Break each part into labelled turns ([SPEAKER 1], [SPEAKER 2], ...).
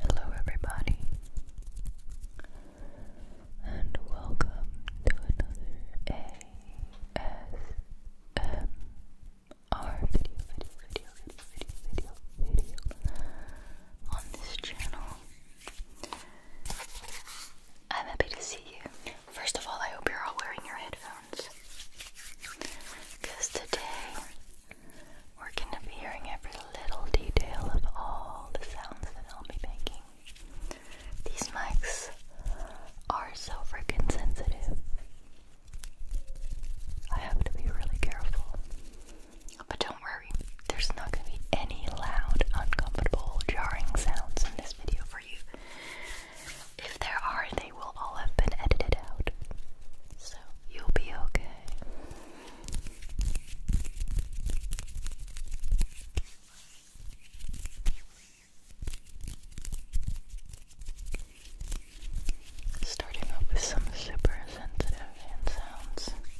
[SPEAKER 1] Hello, everybody, and welcome to another ASMR video, on this channel. I'm happy to see you. First of all, I hope you're all wearing your headphones. Because today we're going to be hearing every little detail of all the sounds that I'll be making.
[SPEAKER 2] These mics are so freaking sensitive. I have to be really careful. But don't worry, there's not going to be any loud, uncomfortable, jarring sounds in this video for you. If there are, they will all have been edited out. So you'll be okay. Starting off with some super sensitive sounds.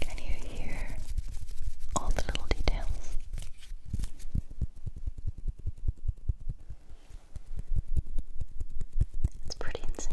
[SPEAKER 2] Can you hear all the little details? It's pretty insane.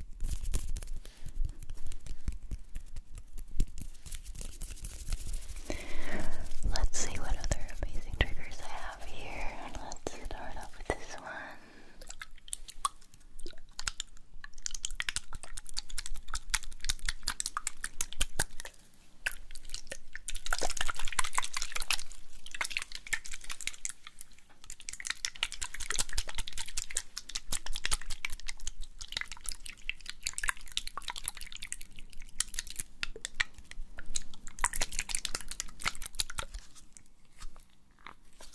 [SPEAKER 1] Let's see what other amazing triggers I have here. Let's start off with this one.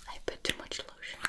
[SPEAKER 1] I put too much lotion on.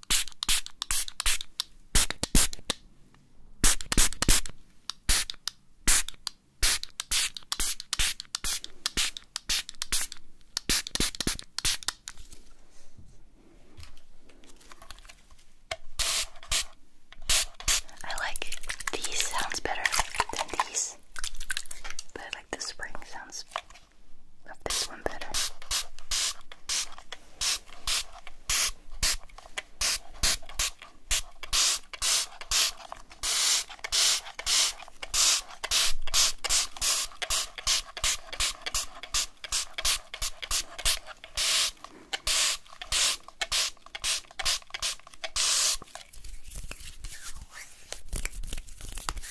[SPEAKER 1] I like these sounds better than these, but I like the spring sounds
[SPEAKER 2] Love this one better.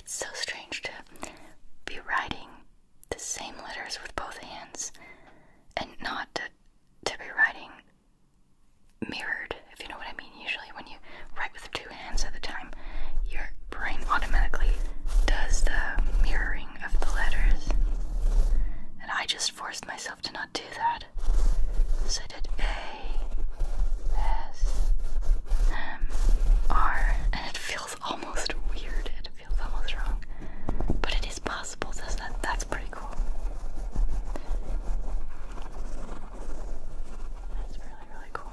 [SPEAKER 1] It's so strange to be writing the same letters with both hands and not to, to be writing mirrored, if you know what I mean usually when you write with two hands at a time, your brain automatically does the mirroring of the letters. And I just forced myself to not do that. So I did A, S, M, R, and it feels almost weird. It feels almost wrong. But it is possible, so that, that's pretty cool. That's really, really cool.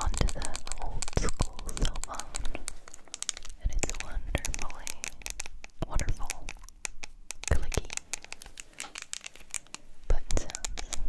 [SPEAKER 1] Onto the old school cell phone, and it's wonderfully wonderful, clicky button sounds.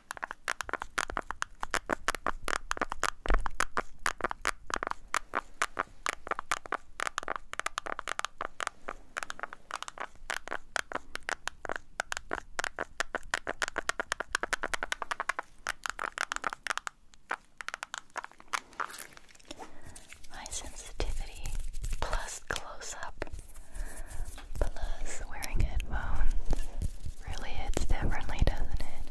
[SPEAKER 2] High sensitivity plus close up Plus, wearing headphones really hits differently, doesn't it?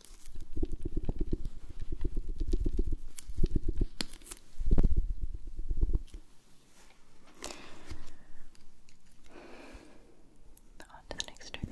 [SPEAKER 2] On to the next trigger.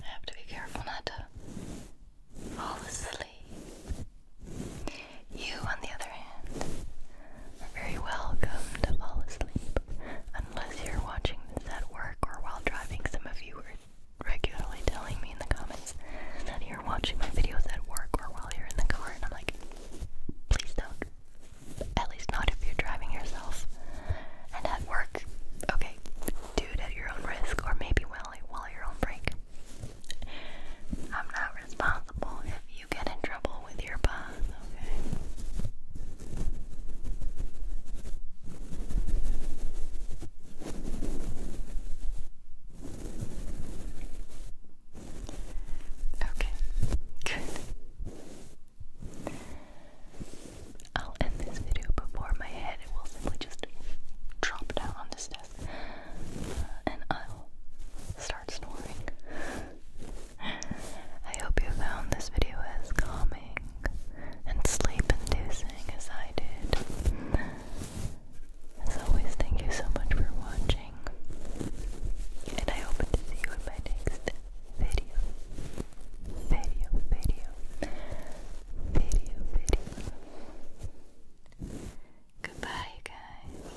[SPEAKER 1] I have to be careful not to
[SPEAKER 2] fall asleep. You, on the other hand,
[SPEAKER 1] very welcome to fall asleep, unless you're watching this at work or while driving. Some of you are regularly telling me in the comments that you're watching my videos at work or while you're in the car, and I'm like, please don't. At least not if you're driving yourself. And
[SPEAKER 2] at work, okay, do it at your own risk, or maybe while, while you're on break. I'm not responsible if you get in trouble with your boss,
[SPEAKER 1] okay? Okay, good. I'll end this video before my head will simply just drop down on this desk, uh, and I'll start snoring. I hope you found this video as calming and sleep inducing as I did. As always, thank you so much for watching, and I hope to see you in my next video. Video, video, video, video. Goodbye, guys.